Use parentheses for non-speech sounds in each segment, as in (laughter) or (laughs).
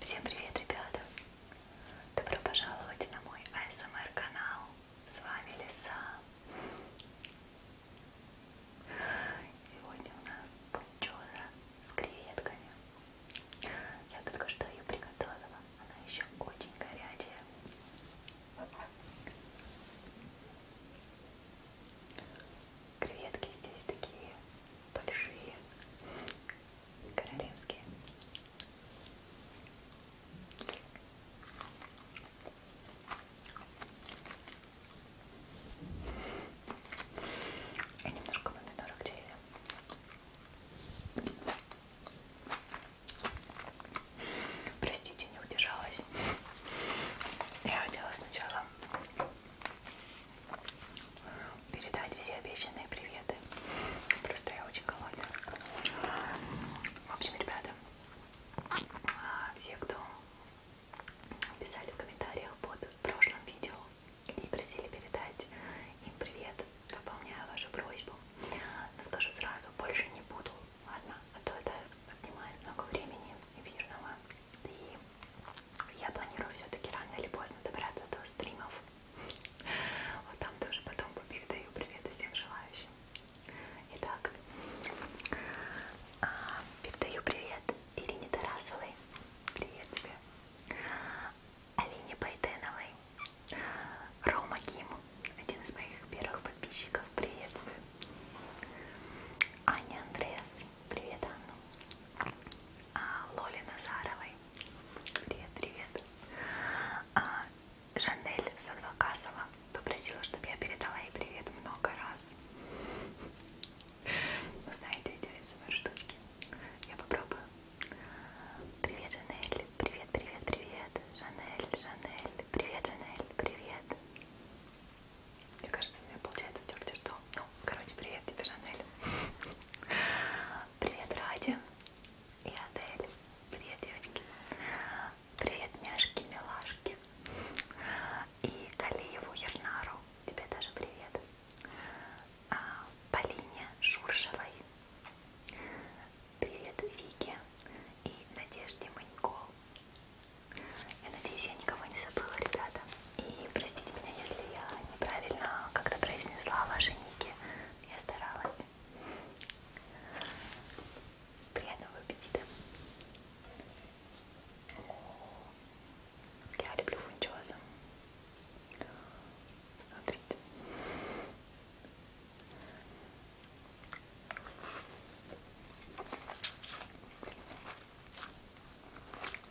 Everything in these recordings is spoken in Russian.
Всем привет, ребята! Добро пожаловать на мой АСМР канал. С вами Лиса. Сегодня у нас пунчоза с креветками. Я только что ее приготовила. Она еще очень горячая. Креветки здесь такие большие королевские. И немножко помидорок черри. Простите, не удержалась. Я хотела сначала передать все обещанные приветы. Просто я очень голодная. В общем, ребята, а, все, кто писали в комментариях под прошлым видео и просили передать им привет, выполняю вашу просьбу. Но скажу сразу, больше не буду, ладно? А то это отнимает много времени эфирного. И я планирую все-таки рано или поздно добраться до стримов вот там тоже потом передаю привет всем желающим. Итак, а, передаю привет Ирине Тарасовой. Привет тебе. Алине Байденовой. Рома Ким, один из моих первых подписчиков. Приветствую. Аня Андреас. Привет, Анну. А, Лоле Назаровой. Привет, привет. А, Жанель Садвакасова попросила, чтобы я передала ей привет много раз. Ну, знаете, интересные штучки. Я попробую. Привет, Жанель. Привет, привет, привет. Жанель, Жанель. Привет, Жанель. Привет. Мне кажется, у меня получается терти что. Ну, короче, привет тебе, Жанель. Привет, Радя и Адель. Привет, девочки. Привет, няшки, милашки. И Калиеву, Ернару. Тебе даже привет. А, Полине Шуршевой. Привет, Вике и Надежде Манько. Я надеюсь, я никого не забыла, ребята. И простите меня, если я неправильно как-то произнесла ваши ники. Я старалась. Приятного аппетита. Я люблю фунчозу. Смотрите.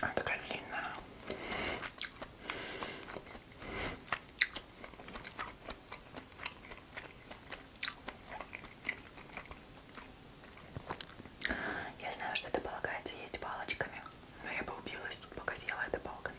Она такая длинная. Я знаю, что это полагается есть палочками, но я бы убилась, пока съела это палками.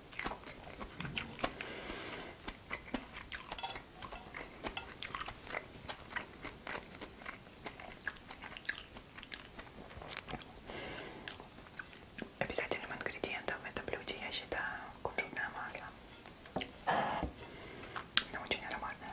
Обязательным ингредиентом в этом блюде я считаю кунжутное масло. Оно очень ароматное.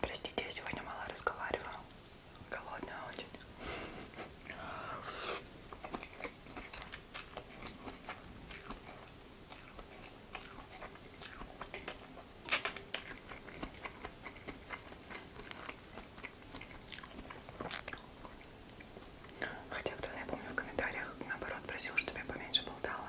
Простите, я сегодня мало разговаривала. Голодная очень. Хотя кто-то, я помню, в комментариях наоборот просил, чтобы я поменьше болтала.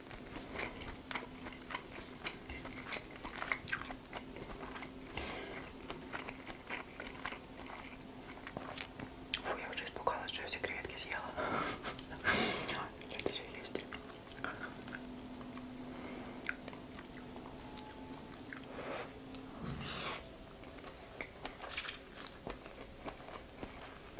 Фу, я уже испугалась, что эти креветки съела. (laughs) Это все есть.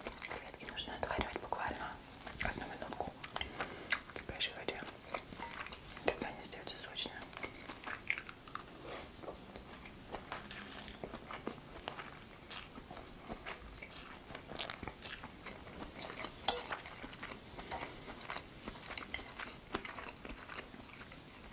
Креветки нужно отваривать буквально одну минутку в кипящей воде. Тогда они остаются сочные.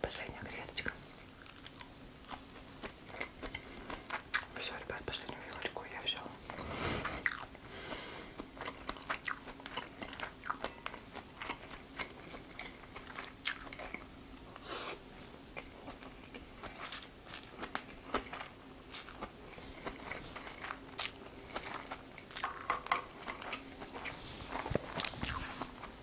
Последняя креветочка. Все, ребят, последнюю вилочку я взял.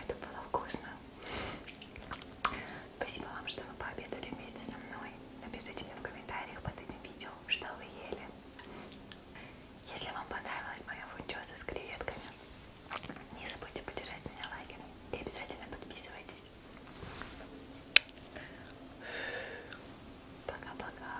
Это было вкусно. Спасибо вам, что вы пообедали вместе со мной. Напишите мне в комментариях под этим видео, что вы ели. Если вам понравилась моя фунчоза с креветками, не забудьте поддержать меня лайком и обязательно подписывайтесь. Пока-пока.